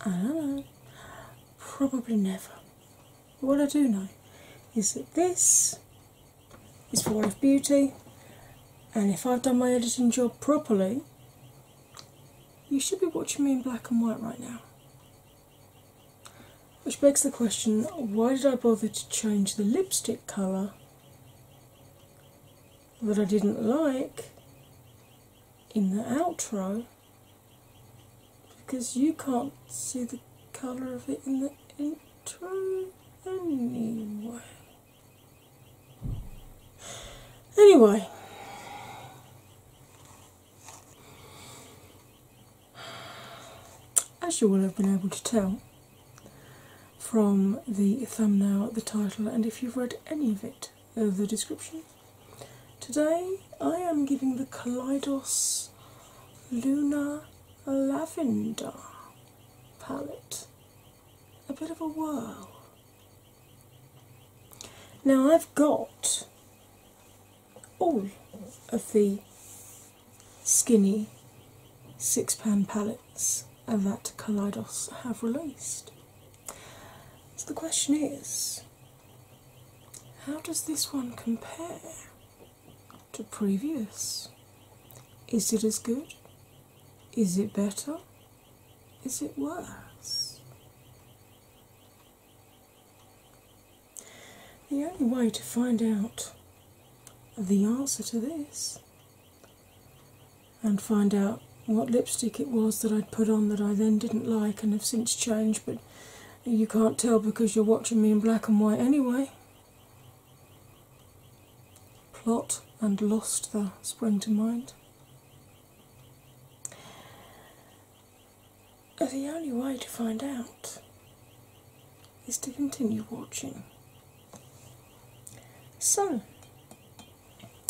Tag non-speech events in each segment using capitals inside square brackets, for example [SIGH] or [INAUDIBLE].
I don't know. Probably never. what I do know is that this is for Life Beauty, and if I've done my editing job properly, you should be watching me in black and white right now. Which begs the question why did I bother to change the lipstick colour that I didn't like in the outro because you can't see the colour of it in the intro anyway. Anyway. As you will have been able to tell from the thumbnail, the title, and if you've read any of it, of the description. Today I am giving the Kaleidos Luna Lavender palette a bit of a whirl. Now I've got all of the skinny six pan palettes that Kaleidos have released. So the question is how does this one compare to previous? Is it as good? Is it better? Is it worse? The only way to find out the answer to this and find out what lipstick it was that I'd put on that I then didn't like and have since changed, but you can't tell because you're watching me in black and white anyway. Plot and lost there spring to mind. The only way to find out is to continue watching. So,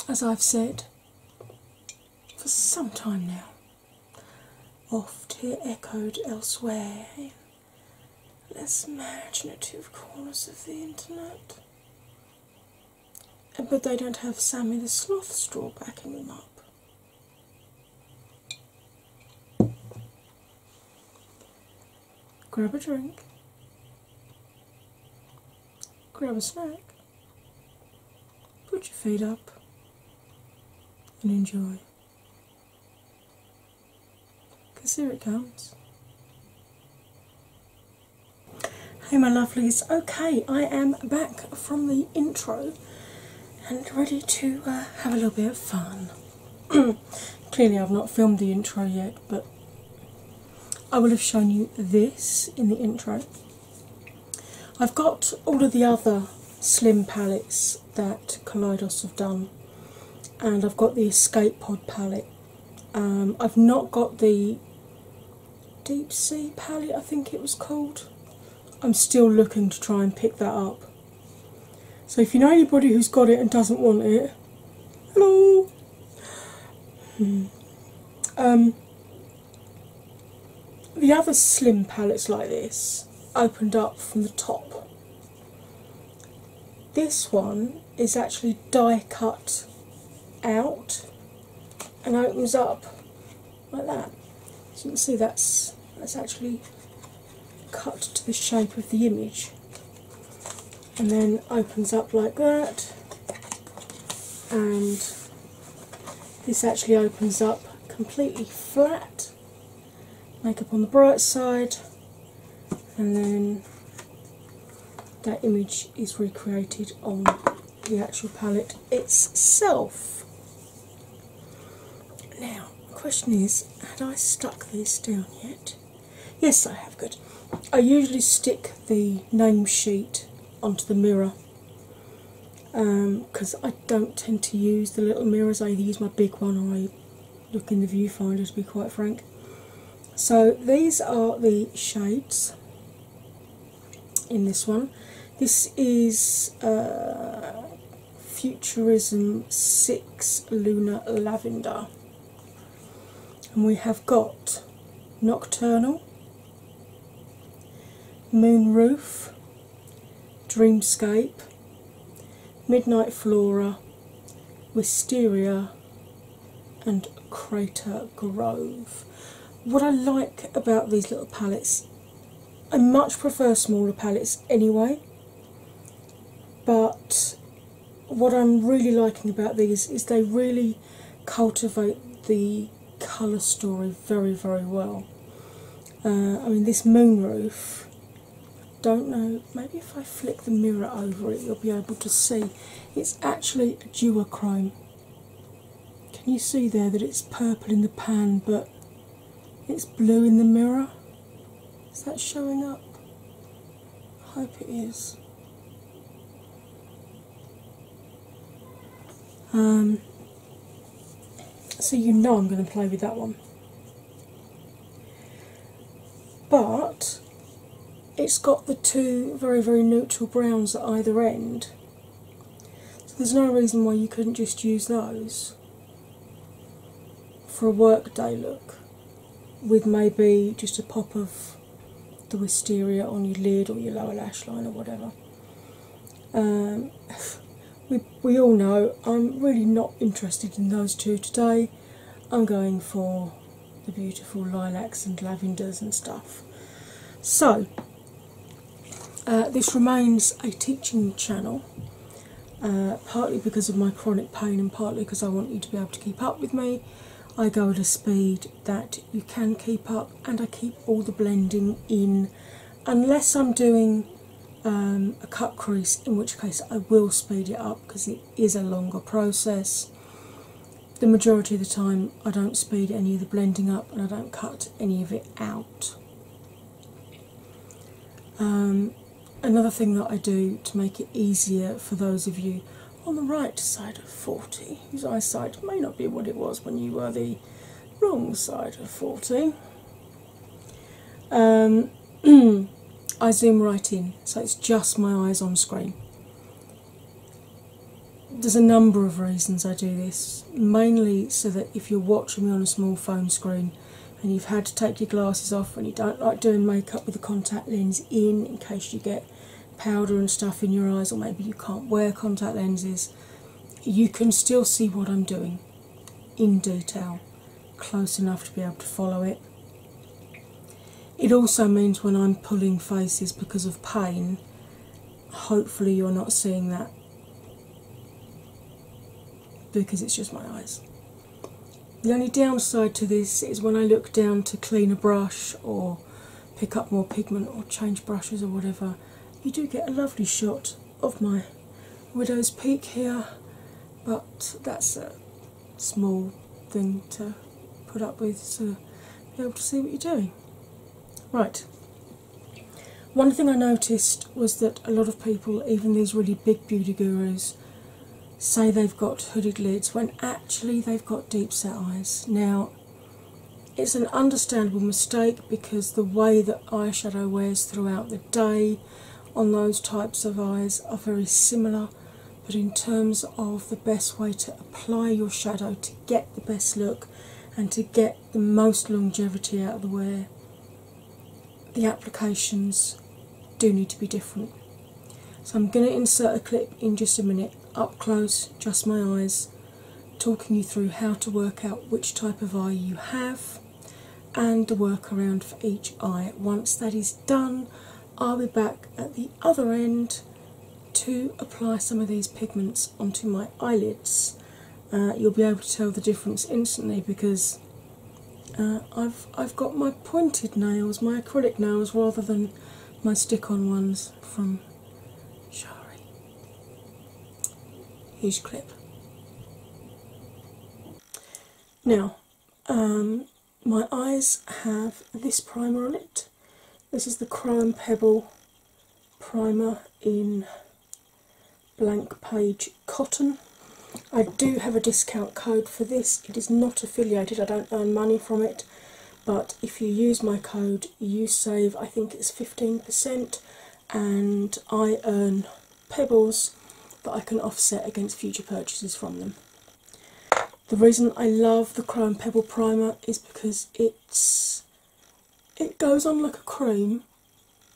as I've said, for some time now, oft here echoed elsewhere in less imaginative corners of the internet. But they don't have Sammy the Sloth straw backing them up. Grab a drink, grab a snack, Put your feet up and enjoy. Because here it comes. Hey, my lovelies. Okay, I am back from the intro and ready to uh, have a little bit of fun. [CLEARS THROAT] Clearly, I've not filmed the intro yet, but I will have shown you this in the intro. I've got all of the other slim palettes that Kaleidos have done, and I've got the Escape Pod palette. Um, I've not got the Deep Sea palette, I think it was called. I'm still looking to try and pick that up. So if you know anybody who's got it and doesn't want it, hello! Hmm. Um, the other slim palettes like this opened up from the top. This one is actually die cut out and opens up like that. So you can see that's that's actually cut to the shape of the image and then opens up like that and this actually opens up completely flat. Makeup on the bright side, and then that image is recreated on the actual palette itself. Now, the question is had I stuck this down yet? Yes, I have. Good. I usually stick the name sheet onto the mirror because um, I don't tend to use the little mirrors. I either use my big one or I look in the viewfinder to be quite frank. So these are the shades in this one. This is uh, Futurism 6 Lunar Lavender. And we have got Nocturnal, Moonroof, Dreamscape, Midnight Flora, Wisteria, and Crater Grove. What I like about these little palettes, I much prefer smaller palettes anyway, but what I'm really liking about these is they really cultivate the colour story very, very well. Uh, I mean, this moonroof, don't know, maybe if I flick the mirror over it, you'll be able to see. It's actually a duochrome. Can you see there that it's purple in the pan but it's blue in the mirror? Is that showing up? I hope it is. Um, so you know I'm going to play with that one. But it's got the two very, very neutral browns at either end. there's no reason why you couldn't just use those for a workday look with maybe just a pop of the wisteria on your lid or your lower lash line or whatever. Um, [SIGHS] we, we all know I'm really not interested in those two today. I'm going for the beautiful lilacs and lavenders and stuff. So, uh, this remains a teaching channel, uh, partly because of my chronic pain and partly because I want you to be able to keep up with me. I go at a speed that you can keep up, and I keep all the blending in unless I'm doing um, a cut crease, in which case I will speed it up because it is a longer process. The majority of the time, I don't speed any of the blending up and I don't cut any of it out. Um, another thing that I do to make it easier for those of you on the right side of 40, whose eyesight may not be what it was when you were the wrong side of 40. Um, [CLEARS THROAT] I zoom right in, so it's just my eyes on screen. There's a number of reasons I do this, mainly so that if you're watching me on a small phone screen and you've had to take your glasses off and you don't like doing makeup with a contact lens in in case you get powder and stuff in your eyes, or maybe you can't wear contact lenses, you can still see what I'm doing in detail, close enough to be able to follow it. It also means when I'm pulling faces because of pain, hopefully, you're not seeing that because it's just my eyes. The only downside to this is when I look down to clean a brush or pick up more pigment or change brushes or whatever, you do get a lovely shot of my widow's peak here, but that's a small thing to put up with to be able to see what you're doing. Right. One thing I noticed was that a lot of people, even these really big beauty gurus, say they've got hooded lids when actually they've got deep set eyes. Now, it's an understandable mistake because the way that eyeshadow wears throughout the day on those types of eyes are very similar, but in terms of the best way to apply your shadow to get the best look and to get the most longevity out of the wear, the applications do need to be different. So I'm going to insert a clip in just a minute, up close, just my eyes, talking you through how to work out which type of eye you have and the workaround for each eye. Once that is done, I'll be back at the other end to apply some of these pigments onto my eyelids. Uh, you'll be able to tell the difference instantly because uh, I've I've got my pointed nails, my acrylic nails, rather than my stick-on ones from Sorry. Huge clip. Now, um, my eyes have this primer on it. This is the Crime Pebble primer in blank page cotton. I do have a discount code for this. It is not affiliated, I don't earn money from it but if you use my code you save i think it's 15% and i earn pebbles that i can offset against future purchases from them the reason i love the chrome pebble primer is because it's it goes on like a cream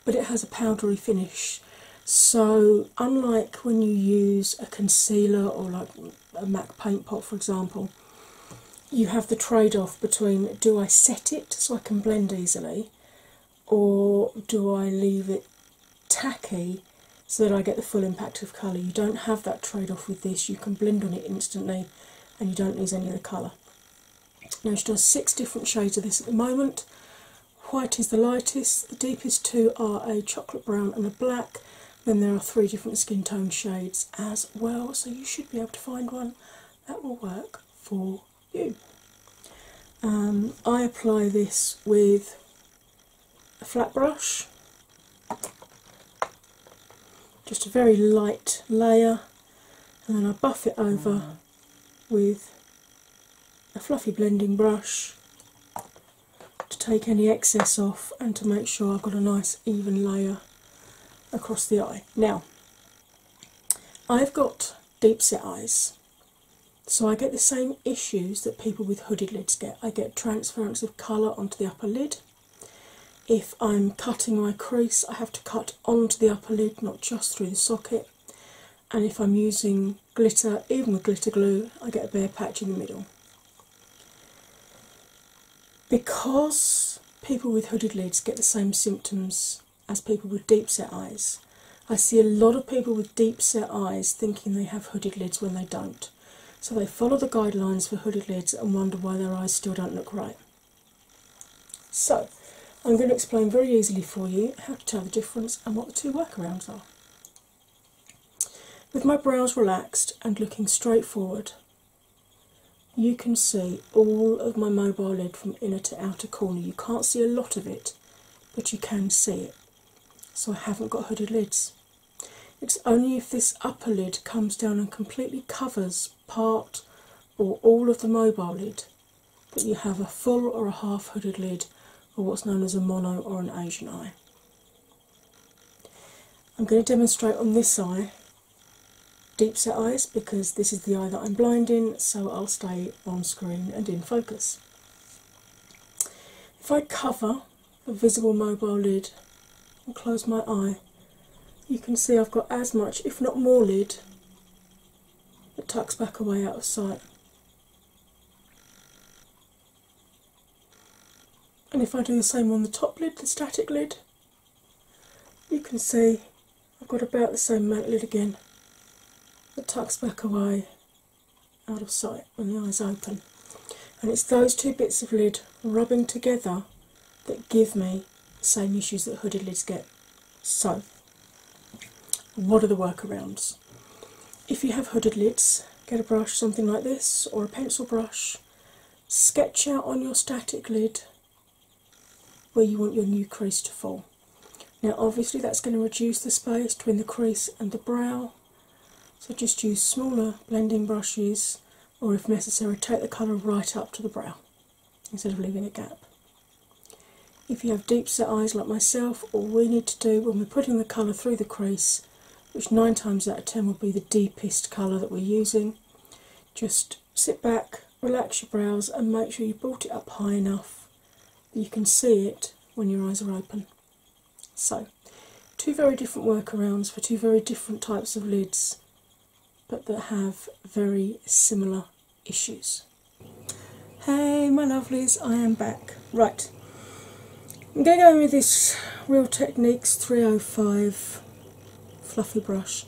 but it has a powdery finish so unlike when you use a concealer or like a Mac paint pot, for example, you have the trade off between do I set it so I can blend easily, or do I leave it tacky so that I get the full impact of colour. You don't have that trade off with this, you can blend on it instantly and you don't lose any of the colour. Now she does six different shades of this at the moment. White is the lightest, the deepest two are a chocolate brown and a black, then there are three different skin tone shades as well, so you should be able to find one that will work for you. Um, I apply this with a flat brush, just a very light layer, and then I buff it over mm. with a fluffy blending brush to take any excess off and to make sure I've got a nice even layer across the eye. Now, I've got deep set eyes, so I get the same issues that people with hooded lids get. I get transference of colour onto the upper lid. If I'm cutting my crease, I have to cut onto the upper lid, not just through the socket. And if I'm using glitter, even with glitter glue, I get a bare patch in the middle because people with hooded lids get the same symptoms as people with deep set eyes, I see a lot of people with deep set eyes thinking they have hooded lids when they don't. So they follow the guidelines for hooded lids and wonder why their eyes still don't look right. So, I'm going to explain very easily for you how to tell the difference and what the two workarounds are. With my brows relaxed and looking straight forward, you can see all of my mobile lid from inner to outer corner. You can't see a lot of it, but you can see it. So I haven't got hooded lids. It's only if this upper lid comes down and completely covers part or all of the mobile lid that you have a full or a half hooded lid or what's known as a mono or an Asian eye. I'm going to demonstrate on this eye deep set eyes because this is the eye that I'm blind in, so I'll stay on screen and in focus. If I cover the visible mobile lid and close my eye, you can see I've got as much, if not more, lid that tucks back away out of sight. And if I do the same on the top lid, the static lid, you can see I've got about the same mantlet again that tucks back away out of sight when the eyes open. And it's those two bits of lid rubbing together that give me the same issues that hooded lids get. So, what are the workarounds? If you have hooded lids, get a brush, something like this, or a pencil brush, sketch out on your static lid where you want your new crease to fall. Now, obviously, that's going to reduce the space between the crease and the brow, so just use smaller blending brushes or, if necessary, take the colour right up to the brow instead of leaving a gap. If you have deep set eyes like myself, all we need to do when we're putting the colour through the crease, which nine times out of ten will be the deepest colour that we're using, just sit back, relax your brows, and make sure you bolt it up high enough that you can see it when your eyes are open. So, two very different workarounds for two very different types of lids, but that have very similar issues. Hey, my lovelies, I am back. Right, I'm going to go in with this Real Techniques 305 fluffy brush.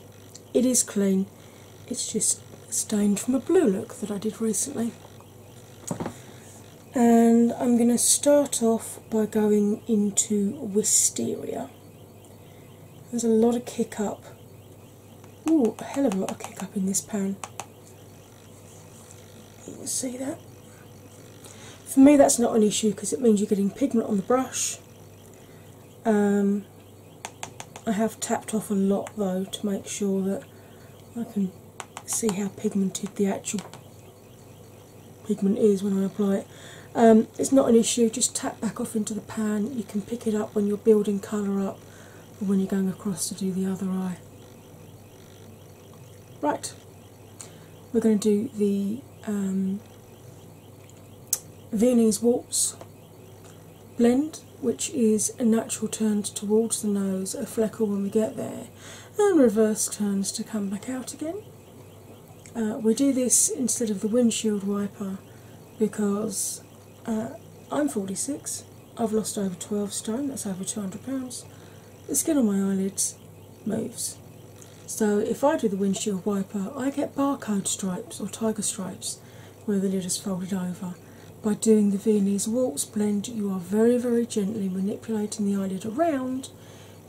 It is clean, it's just stained from a blue look that I did recently. And I'm going to start off by going into Wisteria. There's a lot of kick up. Oh, a hell of a lot of kick up in this pan. You can see that? For me, that's not an issue because it means you're getting pigment on the brush um, I have tapped off a lot though to make sure that I can see how pigmented the actual pigment is when I apply it. Um, it's not an issue, just tap back off into the pan. You can pick it up when you're building colour up or when you're going across to do the other eye. Right, we're going to do the um, Viennese warps, blend, which is a natural turned towards the nose, a fleckle when we get there, and reverse turns to come back out again. Uh, we do this instead of the windshield wiper because uh, I'm 46, I've lost over 12 stone, that's over 200 pounds. The skin on my eyelids moves. So if I do the windshield wiper, I get barcode stripes or tiger stripes where the lid is folded over. By doing the Viennese waltz blend, you are very, very gently manipulating the eyelid around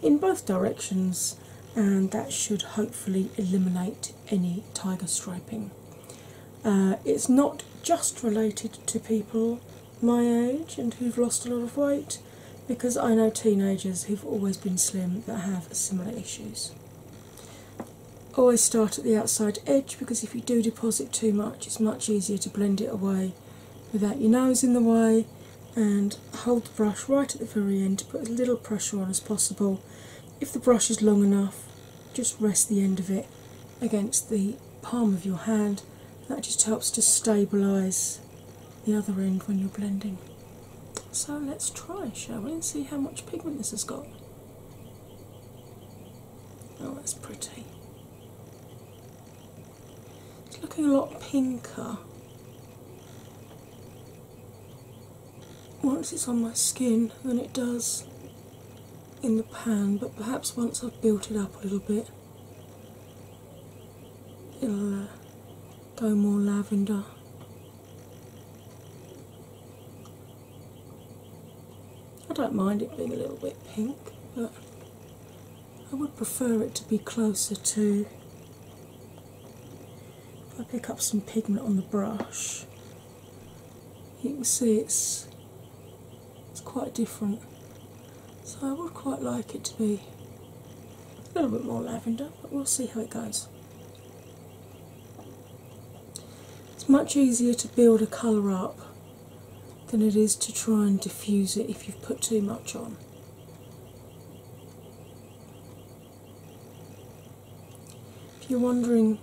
in both directions, and that should hopefully eliminate any tiger striping. Uh, it's not just related to people my age and who've lost a lot of weight because I know teenagers who've always been slim that have similar issues. Always start at the outside edge because if you do deposit too much, it's much easier to blend it away without your nose in the way. And hold the brush right at the very end to put as little pressure on as possible. If the brush is long enough, just rest the end of it against the palm of your hand. That just helps to stabilise the other end when you're blending. So let's try, shall we, and see how much pigment this has got. Oh, that's pretty. It's looking a lot pinker once it's on my skin than it does in the pan, but perhaps once I've built it up a little bit, it'll uh, go more lavender. I don't mind it being a little bit pink, but I would prefer it to be closer to. If I pick up some pigment on the brush, you can see it's it's quite different. So I would quite like it to be a little bit more lavender, but we'll see how it goes. It's much easier to build a colour up than it is to try and diffuse it if you've put too much on. If you're wondering,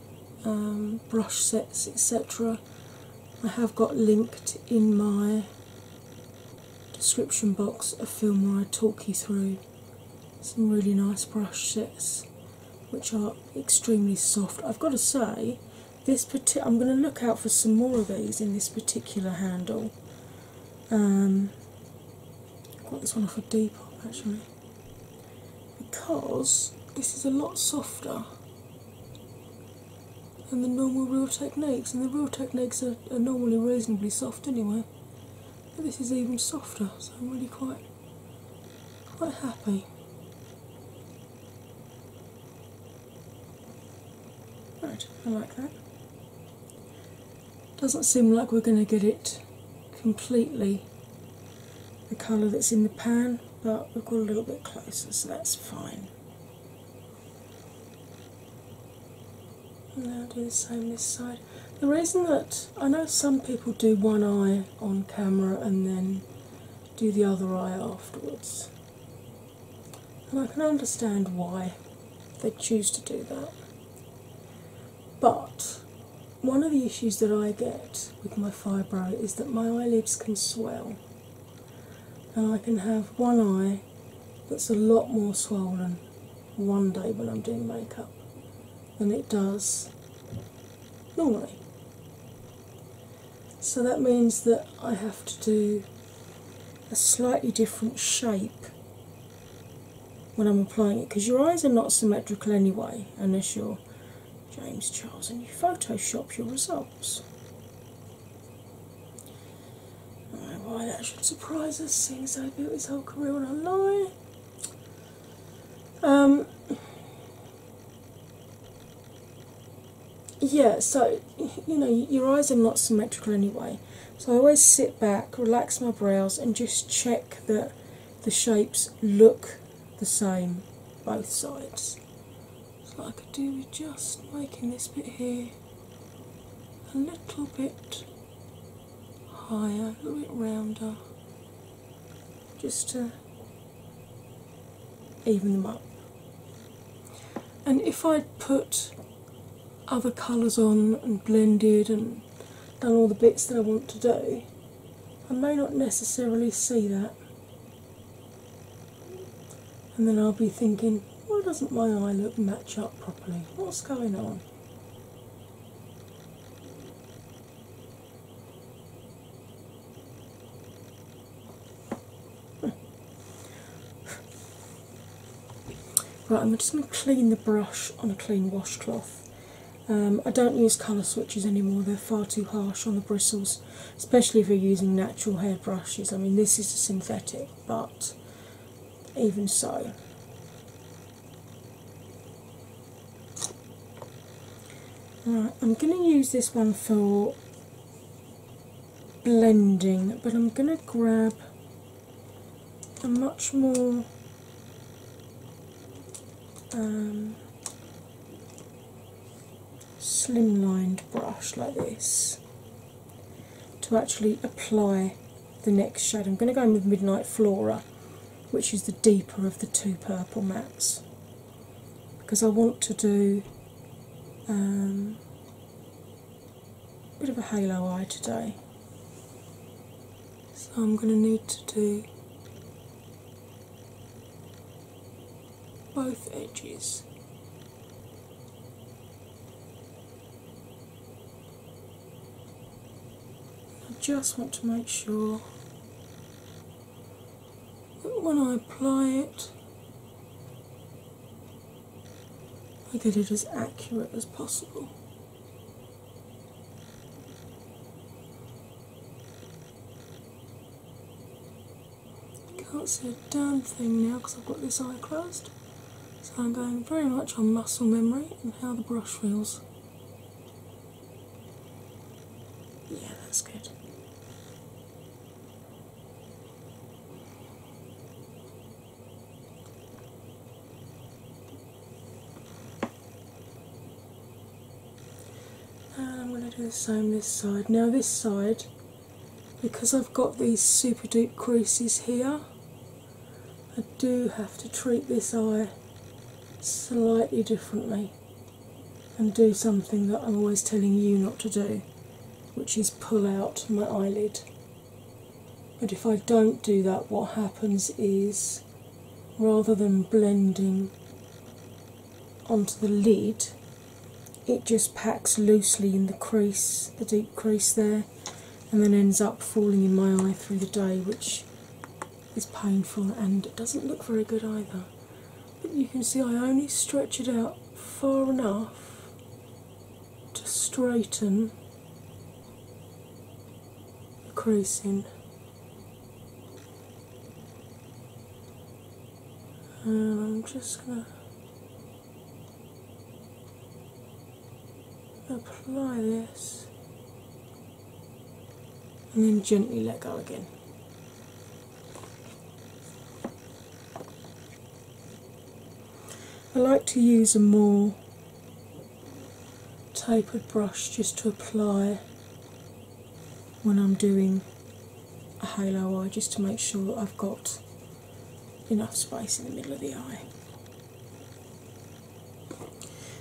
um, brush sets, etc., I have got linked in my description box a film where I talk you through some really nice brush sets which are extremely soft. I've got to say, this parti I'm going to look out for some more of these in this particular handle. Um, I got this one off a of Depop actually because this is a lot softer than the normal Real Techniques, and the Real Techniques are normally reasonably soft anyway but this is even softer, so I'm really quite quite happy. Right, I like that. Doesn't seem like we're going to get it completely the colour that's in the pan, but we've got a little bit closer, so that's fine. Now do the same this side. The reason that I know some people do one eye on camera and then do the other eye afterwards, and I can understand why they choose to do that. But one of the issues that I get with my fibro is that my eyelids can swell, and I can have one eye that's a lot more swollen one day when I'm doing makeup than it does normally. So that means that I have to do a slightly different shape when I'm applying it because your eyes are not symmetrical anyway, unless you're James Charles and you Photoshop your results. why that should surprise us, seeing as I built his whole career on a lie. Um, yeah, so you know, your eyes are not symmetrical anyway, so I always sit back, relax my brows, and just check that the shapes look the same both sides. So I could do with just making this bit here a little bit higher, a little bit rounder, just to even them up. And if I'd put other colours on and blended and done all the bits that I want to do, I may not necessarily see that. And then I'll be thinking, why doesn't my eye look match up properly? What's going on? Right, I'm just going to clean the brush on a clean washcloth. Um, I don't use colour switches anymore, they're far too harsh on the bristles, especially if you're using natural hair brushes. I mean, this is a synthetic, but even so. I'm going to use this one for blending, but I'm going to grab a much more um, slimlined brush like this to actually apply the next shade. I'm going to go in with Midnight Flora, which is the deeper of the two purple mattes, because I want to do um, a bit of a halo eye today. So I'm going to need to do both edges. I just want to make sure that when I apply it, I get it as accurate as possible. Can't see a damn thing now because I've got this eye closed. So I'm going very much on muscle memory and how the brush feels. Yeah, that's good. I'm going to do the same this side. Now, this side, because I've got these super duper creases here, I do have to treat this eye slightly differently and do something that I'm always telling you not to do, which is pull out my eyelid. But if I don't do that, what happens is rather than blending onto the lid, it just packs loosely in the crease, the deep crease there, and then ends up falling in my eye through the day, which is painful and doesn't look very good either. But you can see I only stretch it out far enough to straighten the creasing. And I'm just going to apply this and then gently let go again. I like to use a more tapered brush just to apply when I'm doing a halo eye just to make sure I've got enough space in the middle of the eye.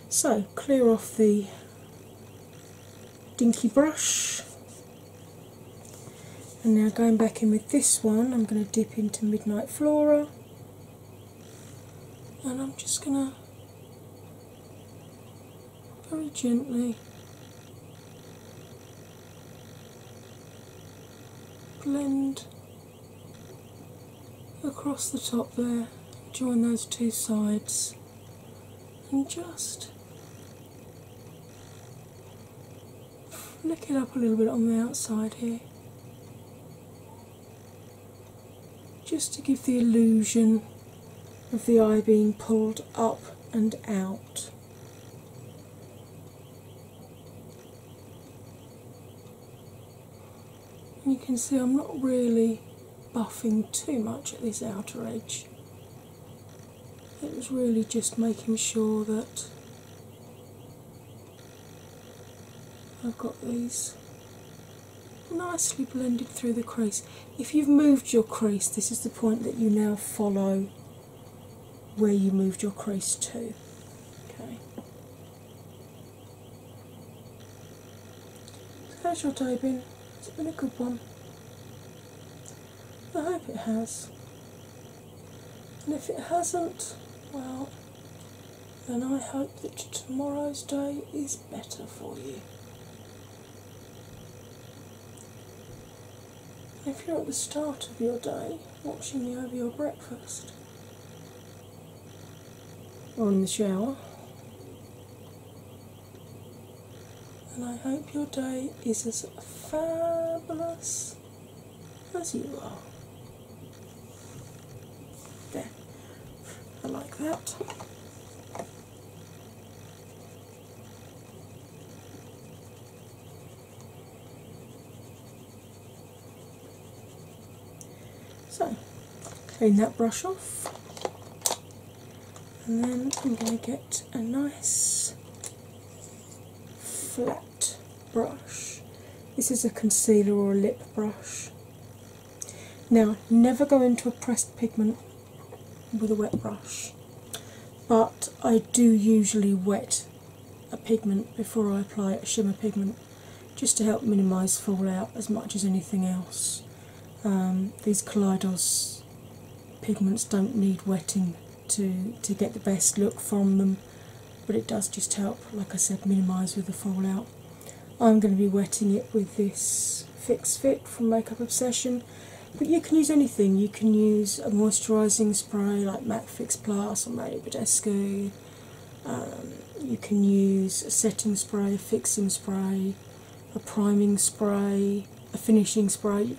So, clear off the dinky brush, and now going back in with this one, I'm going to dip into Midnight Flora and I'm just going to very gently blend across the top there, join those two sides, and just flick it up a little bit on the outside here, just to give the illusion of the eye being pulled up and out. You can see I'm not really buffing too much at this outer edge. It was really just making sure that I've got these nicely blended through the crease. If you've moved your crease, this is the point that you now follow where you moved your crease to. Okay. How's your day been? Has been a good one? I hope it has. And if it hasn't, well, then I hope that tomorrow's day is better for you. If you're at the start of your day watching me over your breakfast, on the shower, And I hope your day is as fabulous as you are. There, I like that. So, clean that brush off, and then I'm going to get a nice flat brush. This is a concealer or a lip brush. Now, never go into a pressed pigment with a wet brush, but I do usually wet a pigment before I apply a shimmer pigment just to help minimise fallout as much as anything else. Um, these Kaleidos pigments don't need wetting to, to get the best look from them, but it does just help, like I said, minimise with the fallout. I'm going to be wetting it with this Fix Fit from Makeup Obsession, but you can use anything. You can use a moisturising spray like Matte Fix Plus or Mario Badescu. Um, you can use a setting spray, a fixing spray, a priming spray, a finishing spray.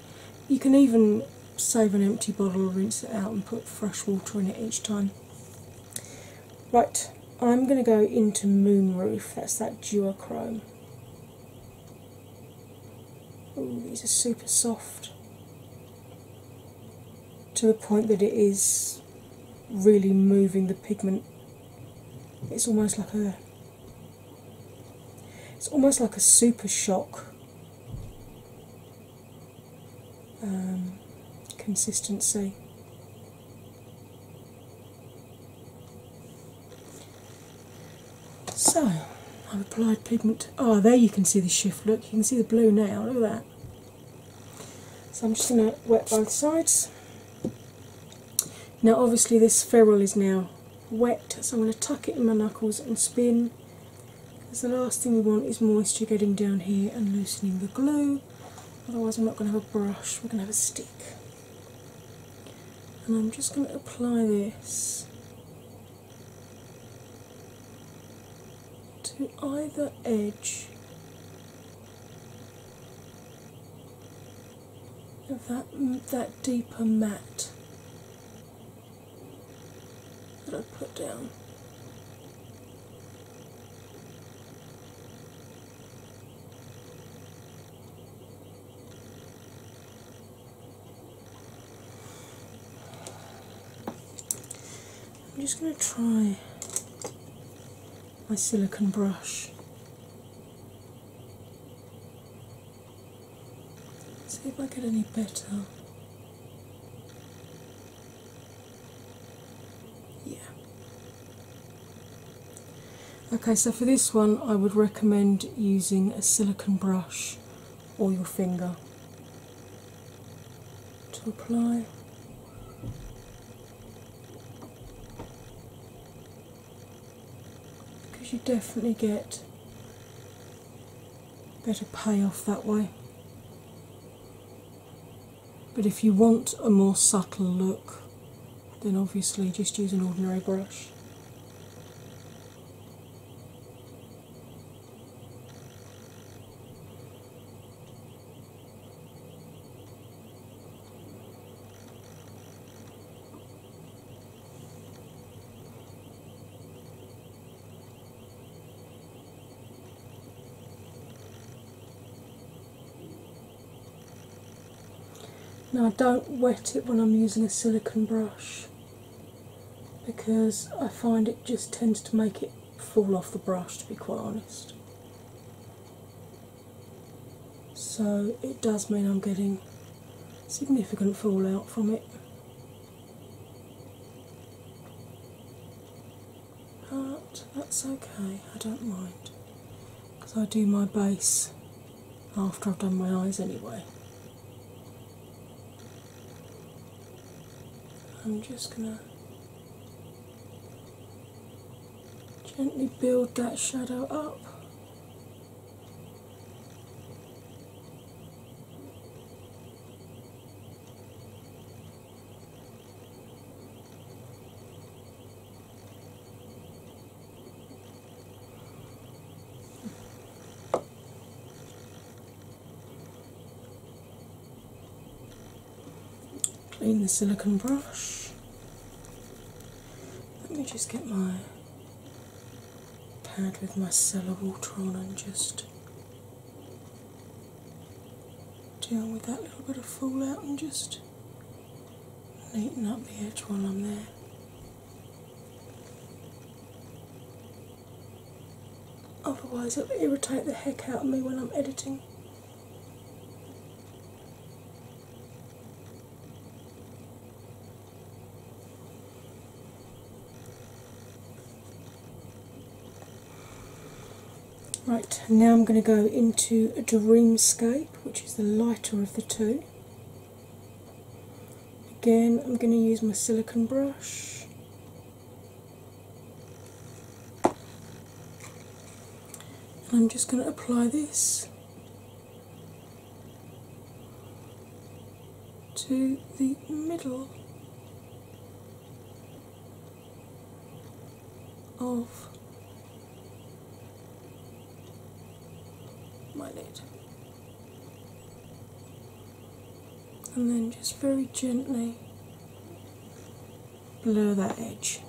You can even save an empty bottle, rinse it out, and put fresh water in it each time. Right, I'm going to go into Moonroof, that's that duochrome. Oh, these are super soft to the point that it is really moving the pigment. It's almost like a it's almost like a super shock um, consistency. So I've applied pigment. Oh, there you can see the shift. Look, you can see the blue now. Look at that. So I'm just going to wet both sides. Now, obviously, this ferrule is now wet, so I'm going to tuck it in my knuckles and spin. Because the last thing we want is moisture getting down here and loosening the glue. Otherwise, I'm not going to have a brush, we're going to have a stick. And I'm just going to apply this to either edge that mm, that deeper matte that I put down. I'm just going to try my silicone brush. See if I get any better. Yeah. Okay, so for this one, I would recommend using a silicone brush or your finger to apply because you definitely get better payoff that way. But if you want a more subtle look, then obviously just use an ordinary brush. Now, I don't wet it when I'm using a silicon brush because I find it just tends to make it fall off the brush, to be quite honest so it does mean I'm getting significant fallout from it. But that's okay, I don't mind because I do my base after I've done my eyes anyway. I'm just gonna Gently build that shadow up clean the silicone brush. Let me just get my pad with my cellar water on and just deal with that little bit of fallout and just neaten up the edge while I'm there. Otherwise, it'll irritate the heck out of me when I'm editing. Right, now I'm going to go into a Dreamscape, which is the lighter of the two. Again, I'm going to use my silicone brush and I'm just going to apply this to the middle of my lid. And then just very gently below that edge.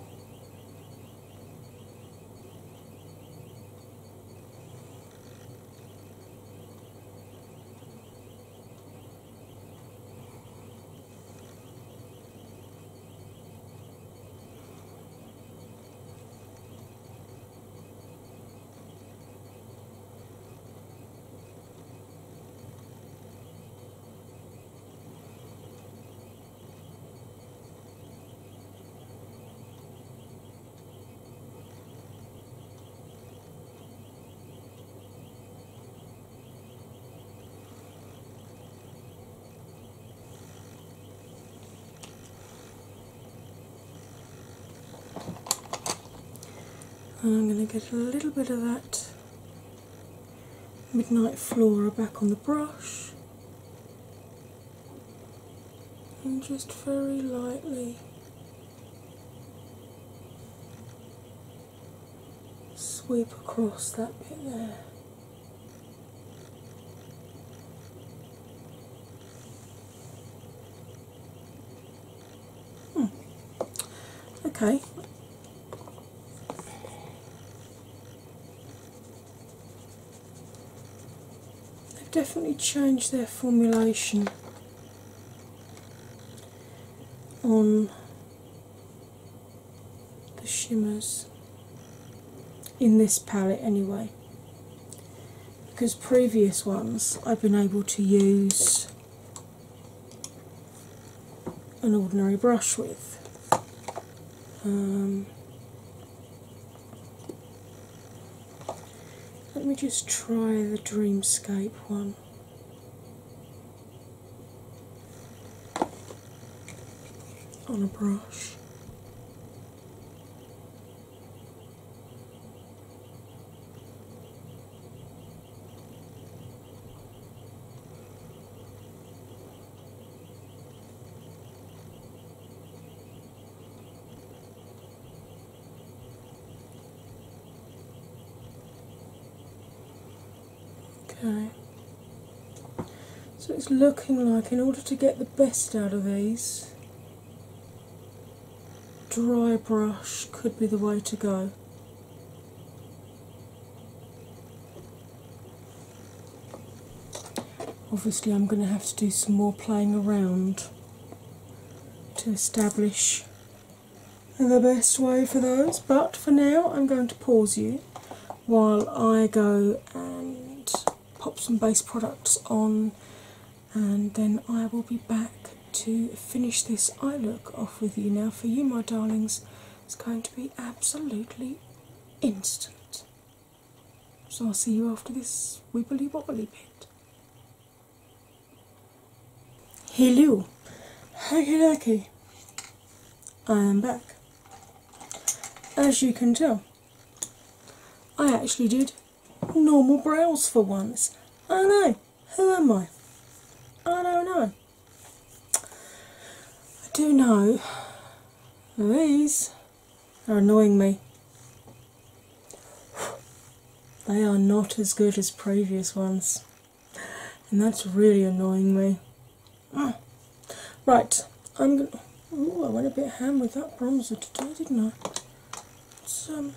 And I'm going to get a little bit of that Midnight Flora back on the brush, and just very lightly sweep across that bit there. Hmm. Okay. They've definitely changed their formulation on the shimmers in this palette, anyway, because previous ones I've been able to use an ordinary brush with. Um, let me just try the Dreamscape one. On a brush. Okay, so it's looking like in order to get the best out of these, dry brush could be the way to go. Obviously, I'm going to have to do some more playing around to establish the best way for those, but for now, I'm going to pause you while I go and pop some base products on, and then I will be back to finish this eye look off with you. Now, for you, my darlings, it's going to be absolutely instant. So I'll see you after this wibbly wobbly bit. Hello, Hacky Lucky. I am back. As you can tell, I actually did normal brows for once. I know, who am I? I don't know. I do know these are annoying me. They are not as good as previous ones, and that's really annoying me. Right, i I went a bit ham with that bronzer today, didn't I? Let's, um,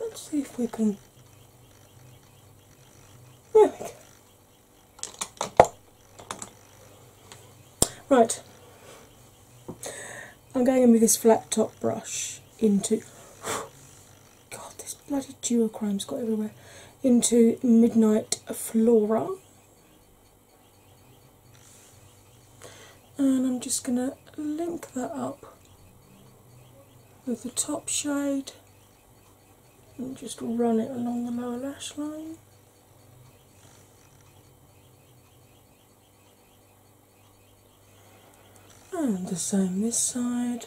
let's see if we can. There we go. Right, I'm going in with this flat top brush into. God, this bloody duochrome's got everywhere. Into Midnight Flora. And I'm just going to link that up with the top shade and just run it along the lower lash line. And the same this side.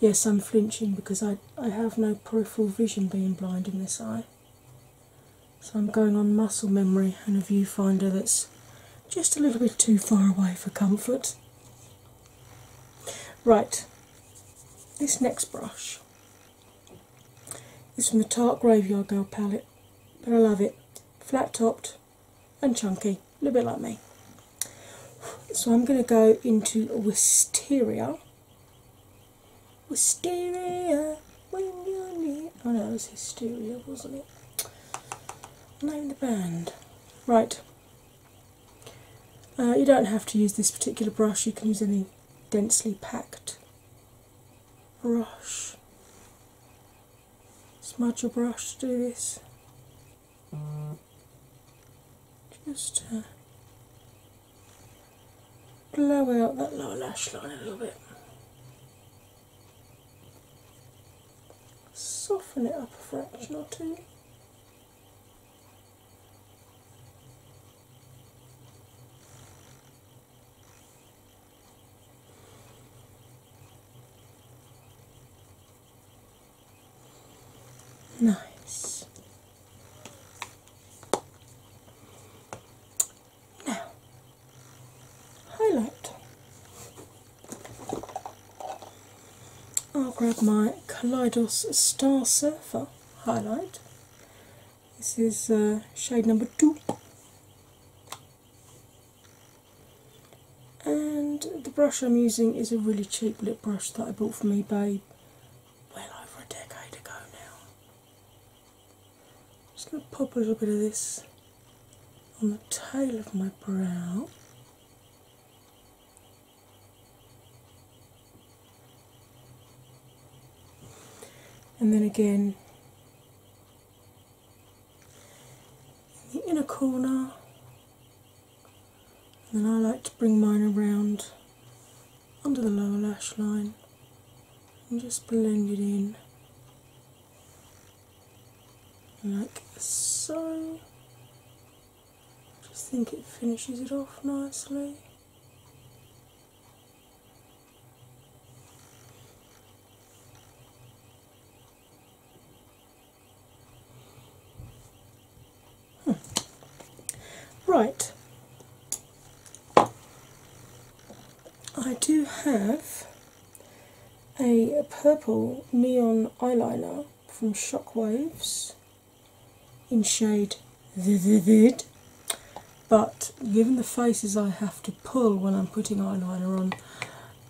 Yes, I'm flinching because I, I have no peripheral vision being blind in this eye. So I'm going on muscle memory and a viewfinder that's just a little bit too far away for comfort. Right, this next brush is from the Tart Graveyard Girl palette, but I love it. Flat topped and chunky, a little bit like me. So I'm going to go into Wisteria Wisteria when you're Oh no, it was Hysteria, wasn't it? Name the band. Right. Uh, you don't have to use this particular brush, you can use any densely packed brush. Smudge your brush to do this. Mm. Just uh, blow out that lower lash line a little bit. Soften it up a fraction or two. Nice. Now, highlight. I'll grab my Kaleidos Star Surfer highlight. This is uh, shade number two. And the brush I'm using is a really cheap lip brush that I bought for from babe, well over a decade ago now. I'm just going to pop a little bit of this on the tail of my brow. And then again in the inner corner. And then I like to bring mine around under the lower lash line just blend it in like so. Just think it finishes it off nicely. Hmm. Right, I do have a purple neon eyeliner from Shockwaves in shade Vivid, but given the faces I have to pull when I'm putting eyeliner on,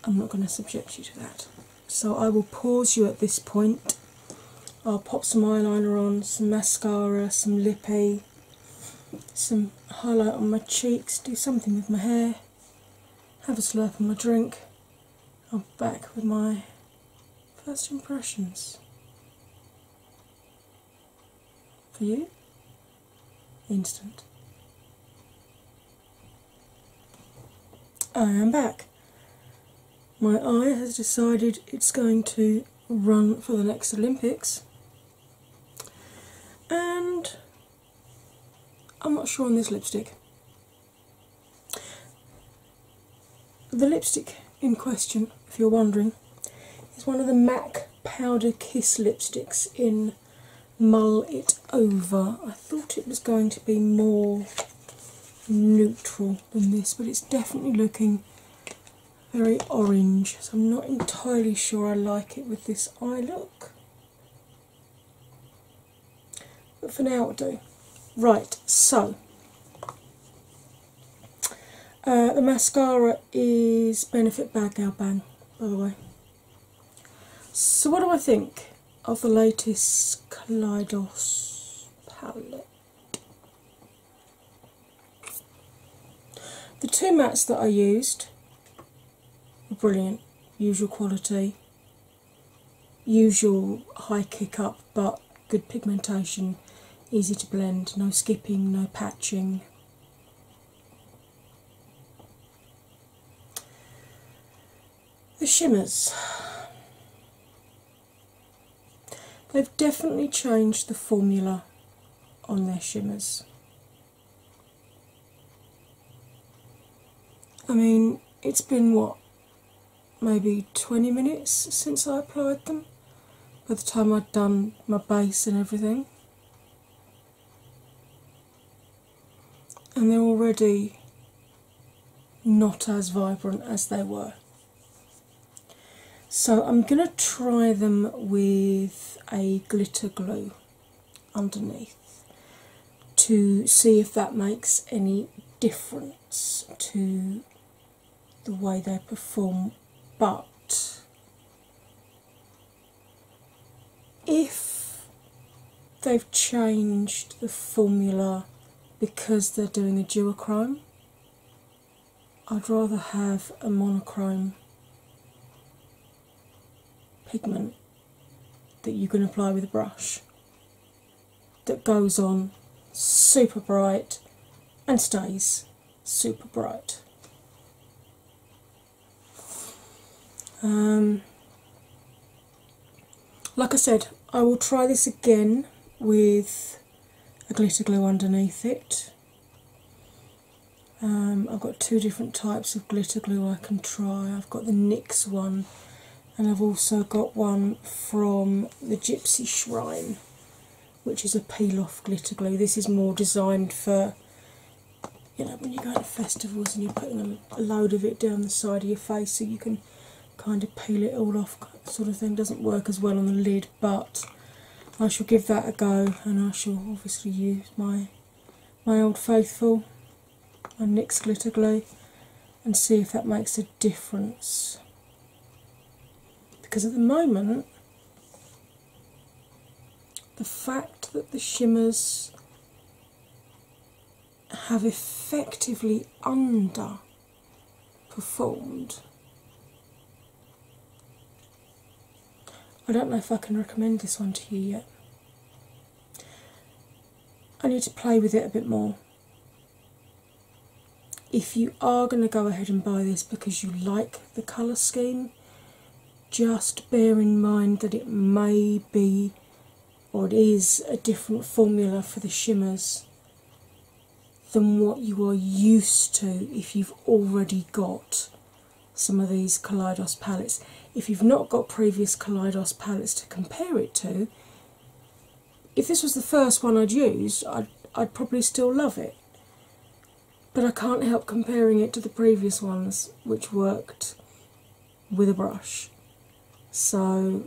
I'm not going to subject you to that. So I will pause you at this point. I'll pop some eyeliner on, some mascara, some lippy, some highlight on my cheeks, do something with my hair, have a slurp on my drink. I'm back with my first impressions. For you, instant. I am back. My eye has decided it's going to run for the next Olympics, and I'm not sure on this lipstick. The lipstick in question, if you're wondering, is one of the MAC Powder Kiss lipsticks in Mull It Over. I thought it was going to be more neutral than this, but it's definitely looking very orange, so I'm not entirely sure I like it with this eye look. But for now, I'll do. Right, so uh, the mascara is Benefit Bagel Bang, by the way. So, what do I think of the latest Kaleidos palette? The two mats that I used were brilliant, usual quality, usual high kick up, but good pigmentation, easy to blend, no skipping, no patching. The shimmers. They've definitely changed the formula on their shimmers. I mean, it's been what, maybe 20 minutes since I applied them by the time I'd done my base and everything. And they're already not as vibrant as they were. So I'm going to try them with a glitter glue underneath to see if that makes any difference to the way they perform. But if they've changed the formula because they're doing a chrome. I'd rather have a monochrome pigment that you can apply with a brush that goes on super bright and stays super bright. Um, like I said, I will try this again with a glitter glue underneath it um, I've got two different types of glitter glue I can try. I've got the Nix one, and I've also got one from the Gypsy Shrine, which is a peel off glitter glue. This is more designed for you know, when you are going to festivals and you're putting a load of it down the side of your face so you can kind of peel it all off, sort of thing. Doesn't work as well on the lid but I shall give that a go and I shall obviously use my my old faithful my NYX glitter glue and see if that makes a difference. Because at the moment the fact that the shimmers have effectively underperformed I don't know if I can recommend this one to you yet. I need to play with it a bit more. If you are going to go ahead and buy this because you like the colour scheme, just bear in mind that it may be or it is a different formula for the shimmers than what you are used to if you've already got some of these Kaleidos palettes. If you've not got previous Kaleidos palettes to compare it to, if this was the first one I'd used, I'd, I'd probably still love it. But I can't help comparing it to the previous ones, which worked with a brush. So,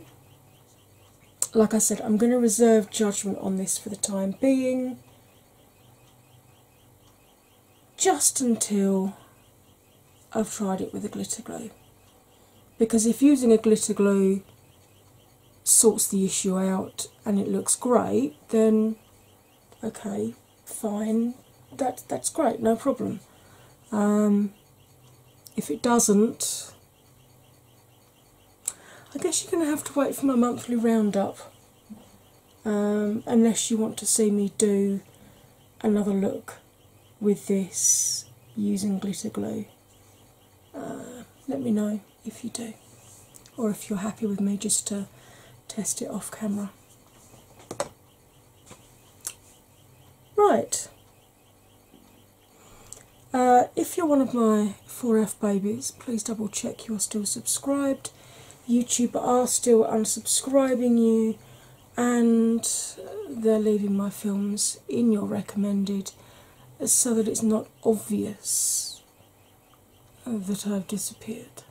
like I said, I'm going to reserve judgment on this for the time being just until I've tried it with a glitter glue. Because if using a glitter glue sorts the issue out and it looks great, then okay, fine, that, that's great, no problem. Um, if it doesn't, I guess you're going to have to wait for my monthly roundup um, unless you want to see me do another look with this using glitter glue. Uh, let me know if you do, or if you're happy with me just to test it off camera. Right. Uh, if you're one of my 4F babies, please double check you are still subscribed. YouTube are still unsubscribing you and they're leaving my films in your recommended so that it's not obvious that I've disappeared.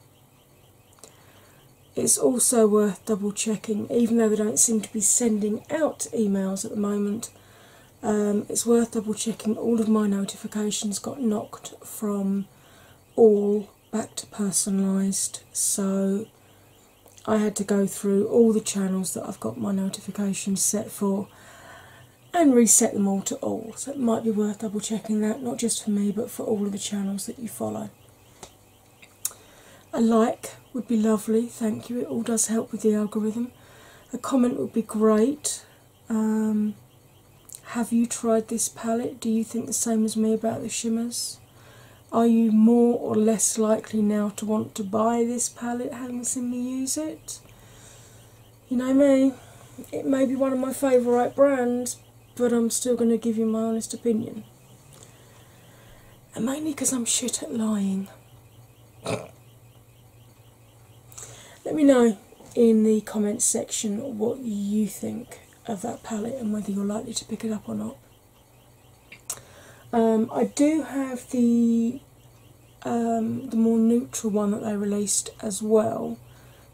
It's also worth double checking, even though they don't seem to be sending out emails at the moment. Um, it's worth double checking all of my notifications got knocked from all back to personalised, so I had to go through all the channels that I've got my notifications set for and reset them all to all. So it might be worth double checking that, not just for me but for all of the channels that you follow. A like would be lovely, thank you, it all does help with the algorithm. A comment would be great. Um, have you tried this palette? Do you think the same as me about the shimmers? Are you more or less likely now to want to buy this palette having seen me use it? You know me, it may be one of my favourite brands, but I'm still going to give you my honest opinion. And mainly because I'm shit at lying. Let me know in the comments section what you think of that palette and whether you're likely to pick it up or not. Um, I do have the um, the more neutral one that they released as well,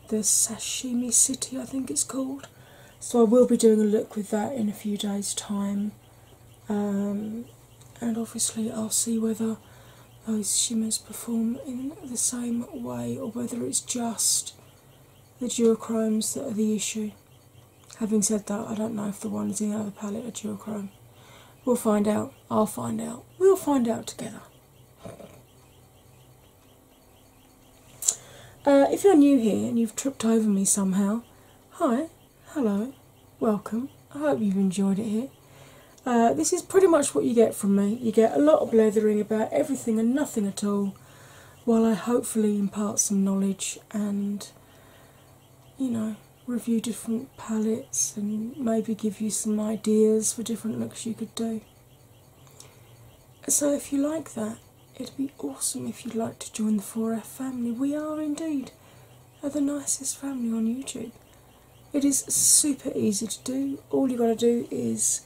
the Sashimi City, I think it's called. So I will be doing a look with that in a few days' time, um, and obviously I'll see whether those shimmers perform in the same way or whether it's just the duochromes that are the issue. Having said that, I don't know if the one is in the other palette or duochrome. We'll find out. I'll find out. We'll find out together. Uh, if you're new here and you've tripped over me somehow, hi, hello, welcome. I hope you've enjoyed it here. Uh, this is pretty much what you get from me. You get a lot of blathering about everything and nothing at all, while I hopefully impart some knowledge and, you know, review different palettes and maybe give you some ideas for different looks you could do. So, if you like that, it'd be awesome if you'd like to join the 4F family. We are indeed the nicest family on YouTube. It is super easy to do. All you got to do is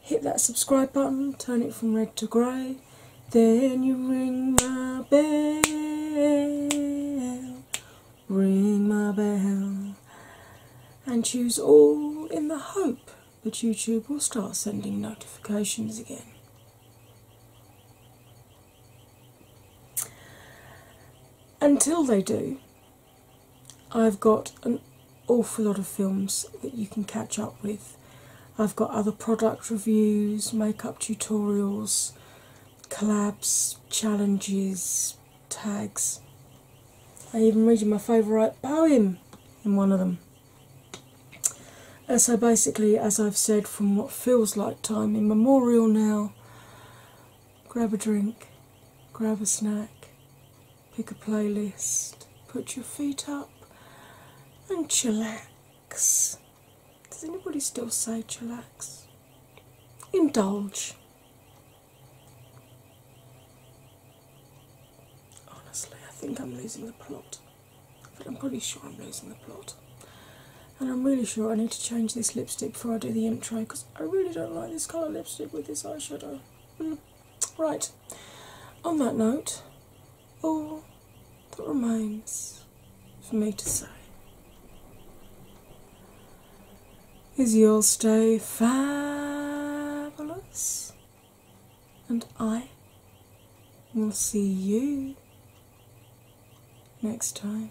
hit that subscribe button, turn it from red to grey. Then you ring my bell, ring my bell, and choose all in the hope that YouTube will start sending notifications again. Until they do, I've got an awful lot of films that you can catch up with. I've got other product reviews, makeup tutorials, collabs, challenges, tags. I even read you my favourite poem in one of them. Uh, so basically, as I've said, from what feels like time immemorial now, grab a drink, grab a snack, pick a playlist, put your feet up, and chillax. Does anybody still say chillax? Indulge. Honestly, I think I'm losing the plot. But I'm pretty sure I'm losing the plot. And I'm really sure I need to change this lipstick before I do the intro because I really don't like this colour lipstick with this eyeshadow. Mm. Right, on that note, all that remains for me to say is you'll stay fabulous, and I will see you next time.